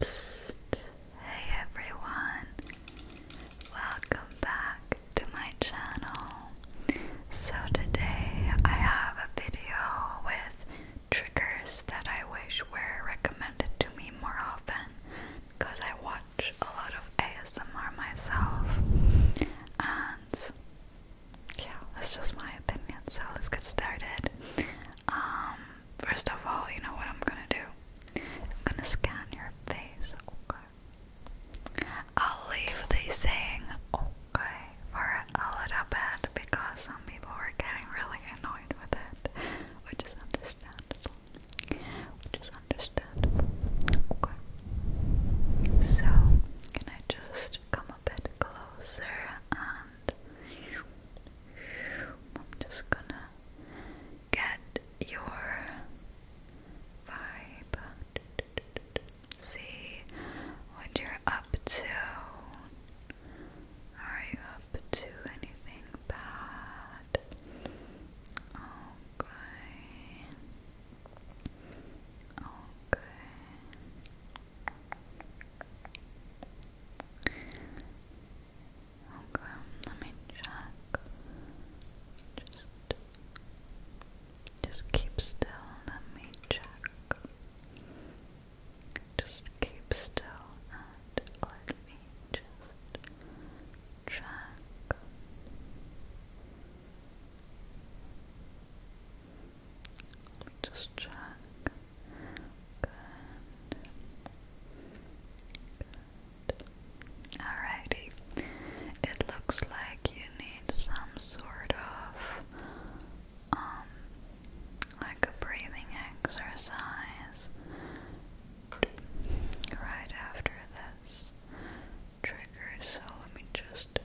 Psst. Hey everyone, welcome back to my channel. So today I have a video with triggers that I wish were recommended to me more often because I watch a lot of ASMR myself and yeah, that's just my opinion. So let's get started. Um, first of all, you know what I'm gonna do? I'm gonna scan your face, I'll leave the saying okay for a little bit because some people were getting really annoyed with it, which is understandable. Which is understandable. Okay. So, can I just come a bit closer and I'm just gonna get your vibe see what you're up to. Are you up to anything bad? Okay. Okay. Okay, let me check. Just just keep still, let me check. Just keep still and let me just check. just check. Good. Good. Alrighty. It looks like you need some sort of um, like a breathing exercise right after this trigger. So let me just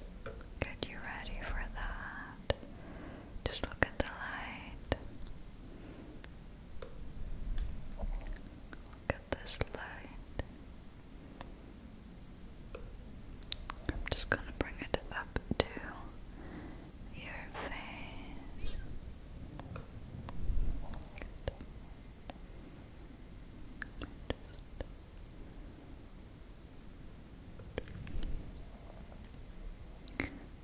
get you ready for that. Just look at the light. Look at this light. I'm just going to bring it up to your face.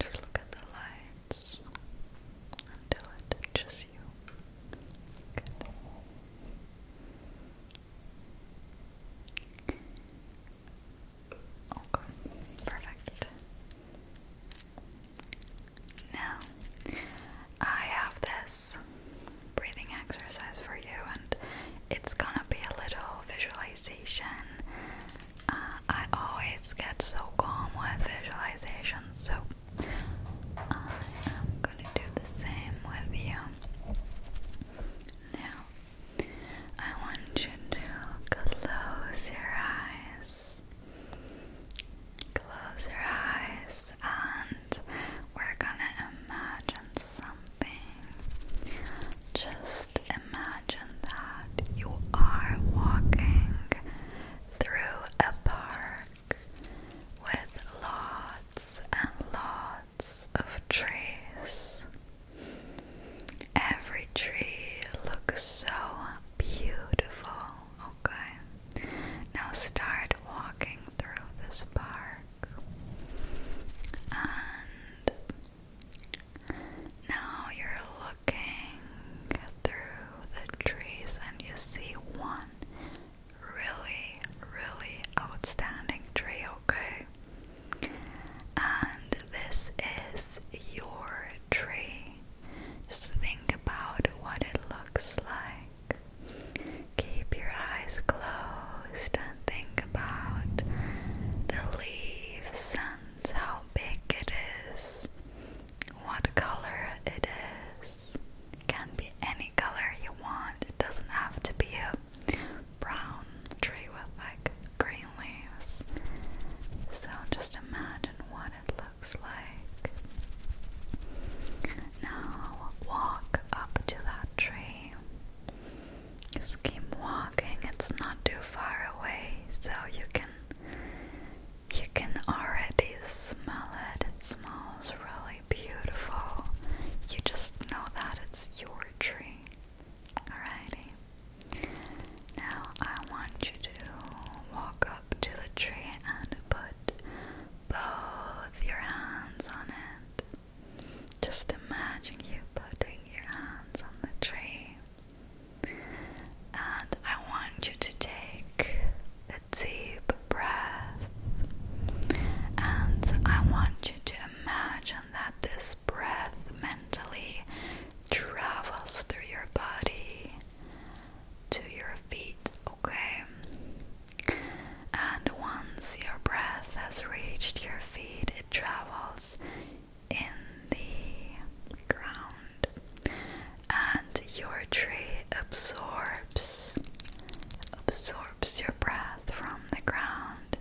Just, look at the lights until it touches you. Okay, oh, perfect. Now, I have this breathing exercise for you, and it's gonna be a little visualization. Uh, I always get so calm with visualizations, so I am gonna do the same with you. Now, I want you to close your eyes. Close your eyes, and we're gonna imagine something. Just imagine that you are walking through a park with lots and lots of trees. Every tree looks so beautiful. Okay, now start walking through this park. And now you're looking through the trees and you see one really, really outstanding tree, okay? And this is your tree. Just think about what it looks like. Keep your eyes closed and think about the leaves and how big it is, what color it is. can be any color you want, it doesn't have to be a brown tree with like green leaves. So just imagine what it looks like. Now walk up to that tree. Just keep walking. It's not too far away, so you can you can already smell it. It smells really beautiful. You just know that it's your tree. Alrighty. Now I want you to walk up to the tree and put both your hands on it. Just imagine you putting your hands on the tree. And I want you to take a deep breath. And I want you to imagine that this breath mentally travels through your body to your feet, okay? And once your breath has reached your feet, it travels in the ground, and your tree absorbs absorbs your breath from the ground,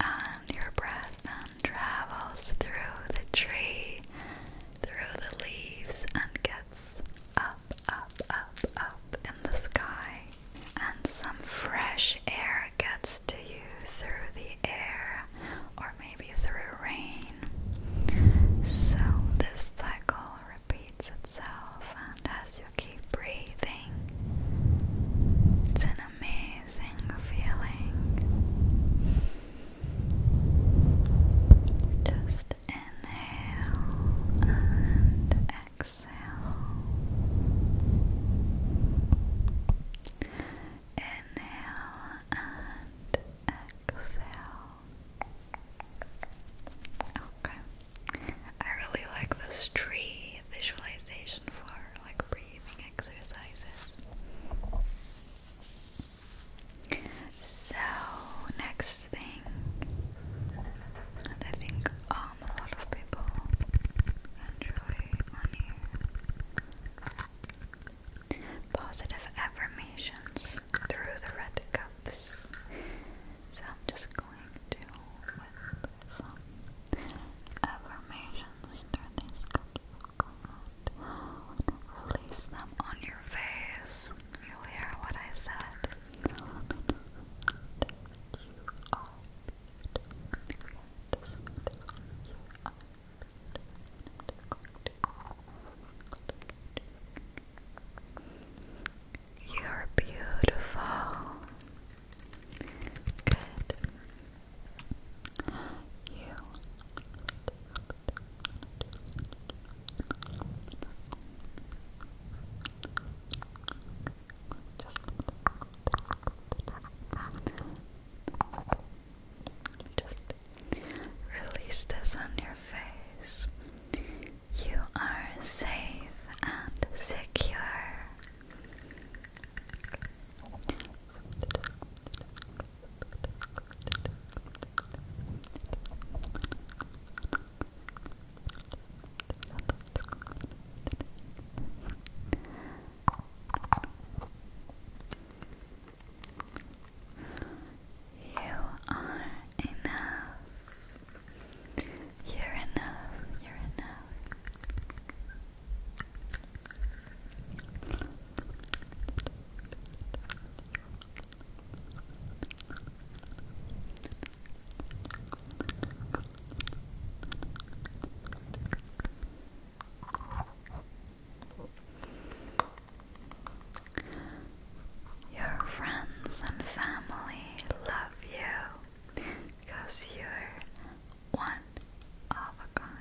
and your breath then travels through the tree, through the leaves, and gets up, up, up, up in the sky. And some fresh air gets to you through the air, or maybe through rain. So this cycle repeats itself as you keep breathing, it's an amazing feeling. Just inhale and exhale. Inhale and exhale. Okay. I really like this tree visualization for like breathing exercises. So, next thing, and I think um, a lot of people enjoy on here positive affirmations through the red cups. So, I'm just going to with some affirmations Release them on your face. You'll hear what I said. You're beautiful. Good. You. Just release this on your face. You are safe and secure. You are enough. You're enough. You're enough. Your friends and family love you. Cause you're one of a kind.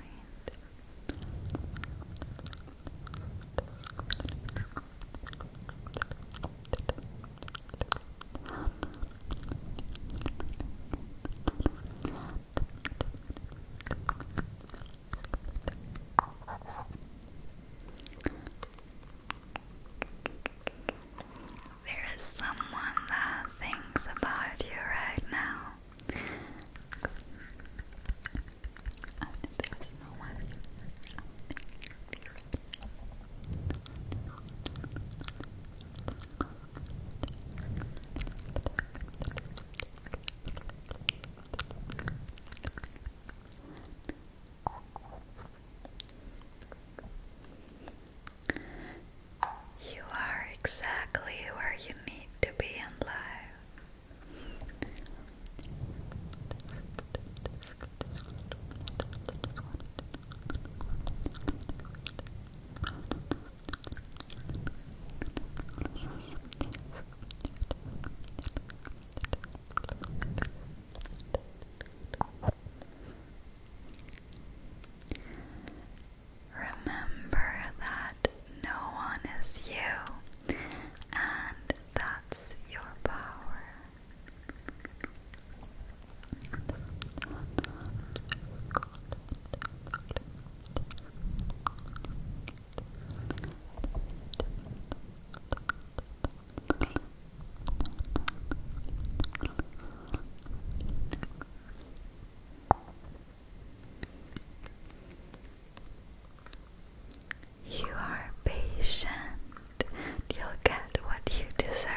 There is someone that thinks about you right now. there's no one. You are exactly where you need to be in life. Remember that no one is you, and that's your power. You are patient. You'll get what you deserve.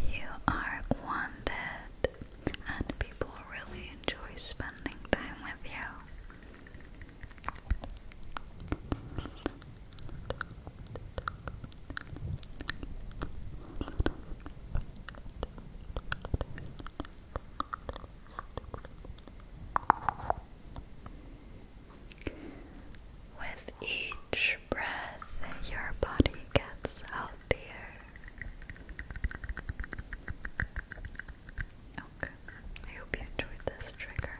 You are wanted, and people really enjoy spending time with you. With each breath, your body gets healthier. Okay, I hope you enjoyed this trigger.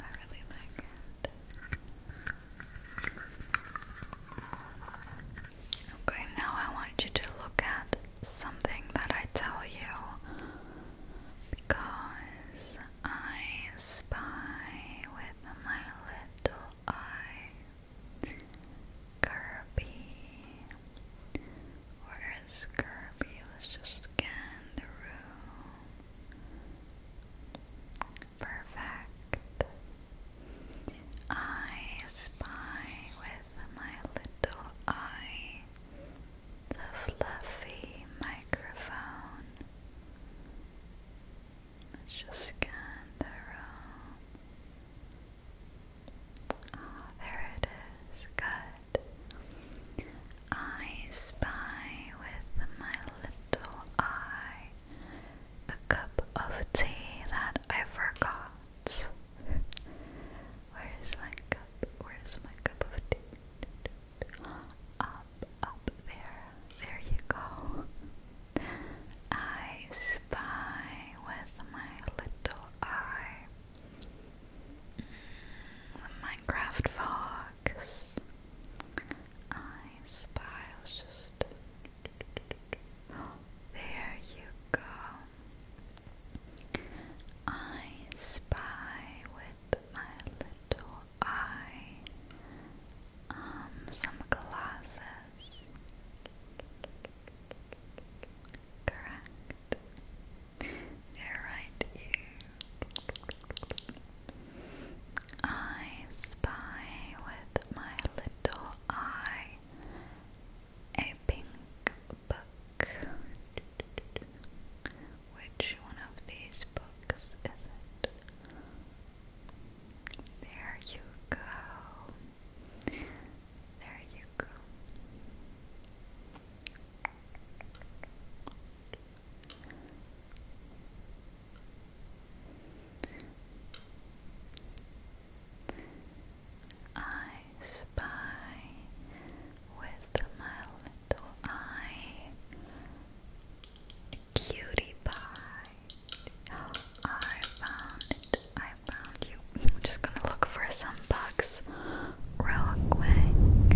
I really like it. Okay, now I want you to look at something that I tell you because I spy with my little eye. Kirby. Where is Kirby? Let's just scan the room. Perfect. I spy with with my little eye the fluffy microphone. Let's just scan the room. Oh, there it is. Good. I spy with my little eye a cup of tea that I forgot. Where is my cup? Where is my cup of tea? Up, up there. There you go. I spy with my little eye. Mm, the Minecraft fox. I spy. I'll just. There you go. I spy with my little eye um some glasses. Correct. They're right here. I spy with my little eye a pink book. Which one of these books is it? There you go. There you go. I spy with my little eye Cutie pie. I found it. I found you. I'm just gonna look for some bugs real quick.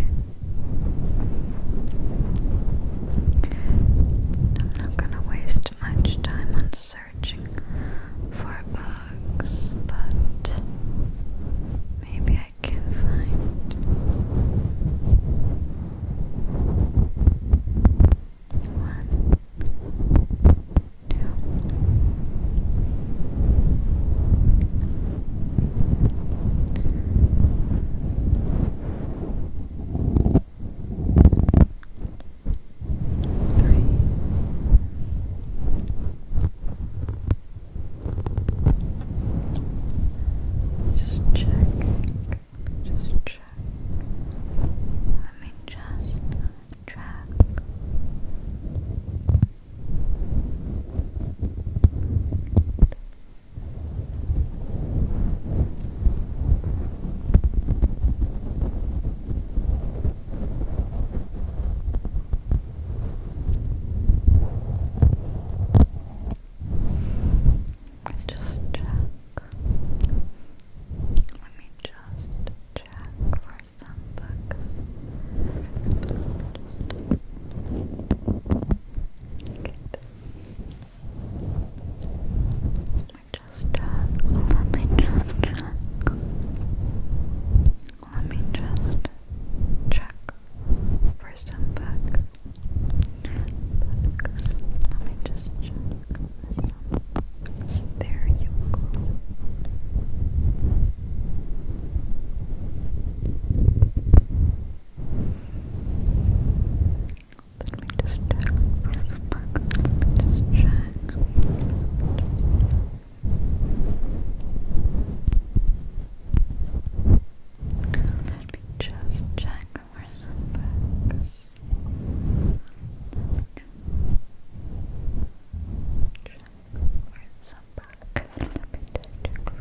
I'm not gonna waste much time on searching for bugs, but maybe I can find one three, just check, just check, let me just track. Good. Let's just check. Let me just check for some books. let me just check. Let me just let me just check for some bugs. Bugs. Let me just check for some bugs. There you go. Let me just check for some bugs. Let me just check. Let me just check. Let me just check for some bugs. Check for some bugs. Let me check for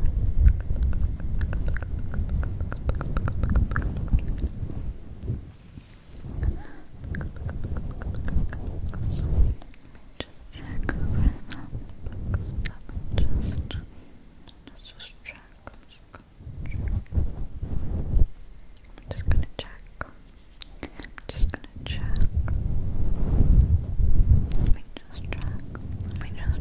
so let me just check let me just let's check. I'm just gonna check. I'm just gonna check. I'm just gonna check. Let me just check. Let check.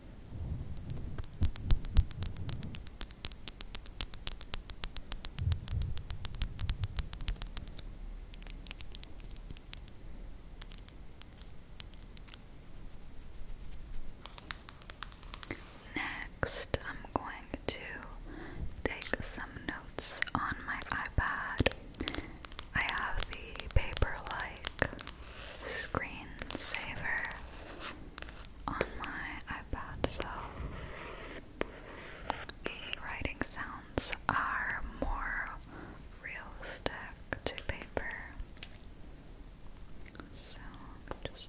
Next, I'm going to take some notes on my iPad. I have the paper like screensaver on my iPad, so the writing sounds are more realistic to paper. So just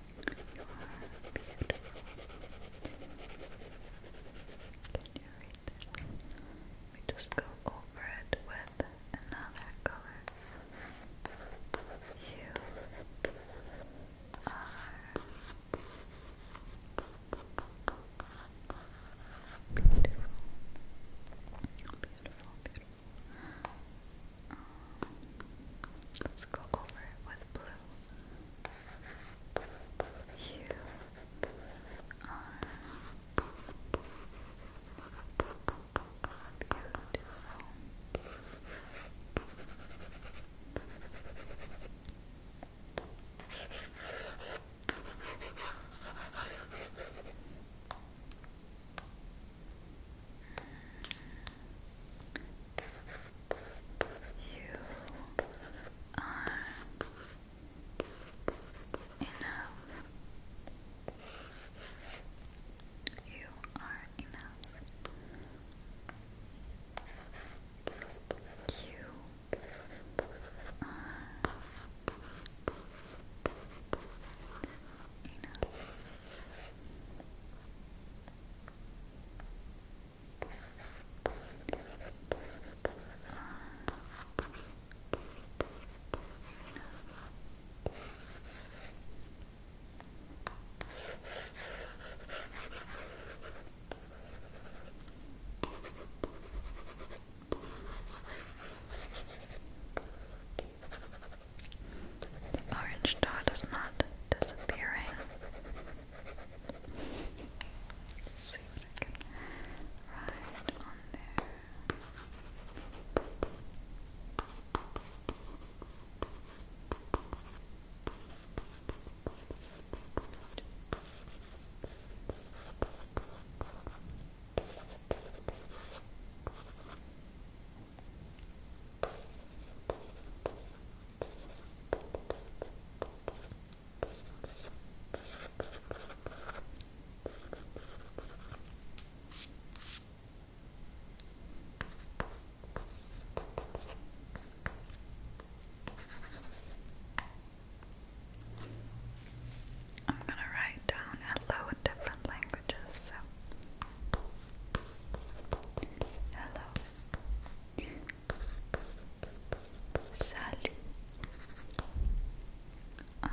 You are beautiful. Can you read that? We just go over it with another color. You are beautiful. Beautiful, let's go over it with blue. You are beautiful. You are enough. You are enough. You are enough. You the orange dot is not disappearing. Let's see what I can write on there. Okay. I'm going to write down hello in different languages. So. Hello. Salut. Um,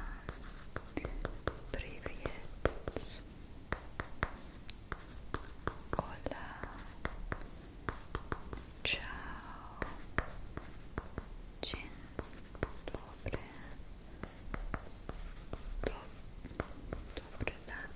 Hola. Ciao. Dzień dobry. dobry dan.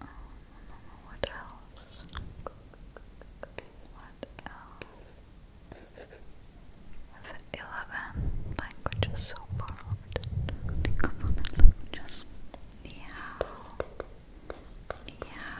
Um, what else? What else? 11 languages so borrowed. languages. Meow. Meow.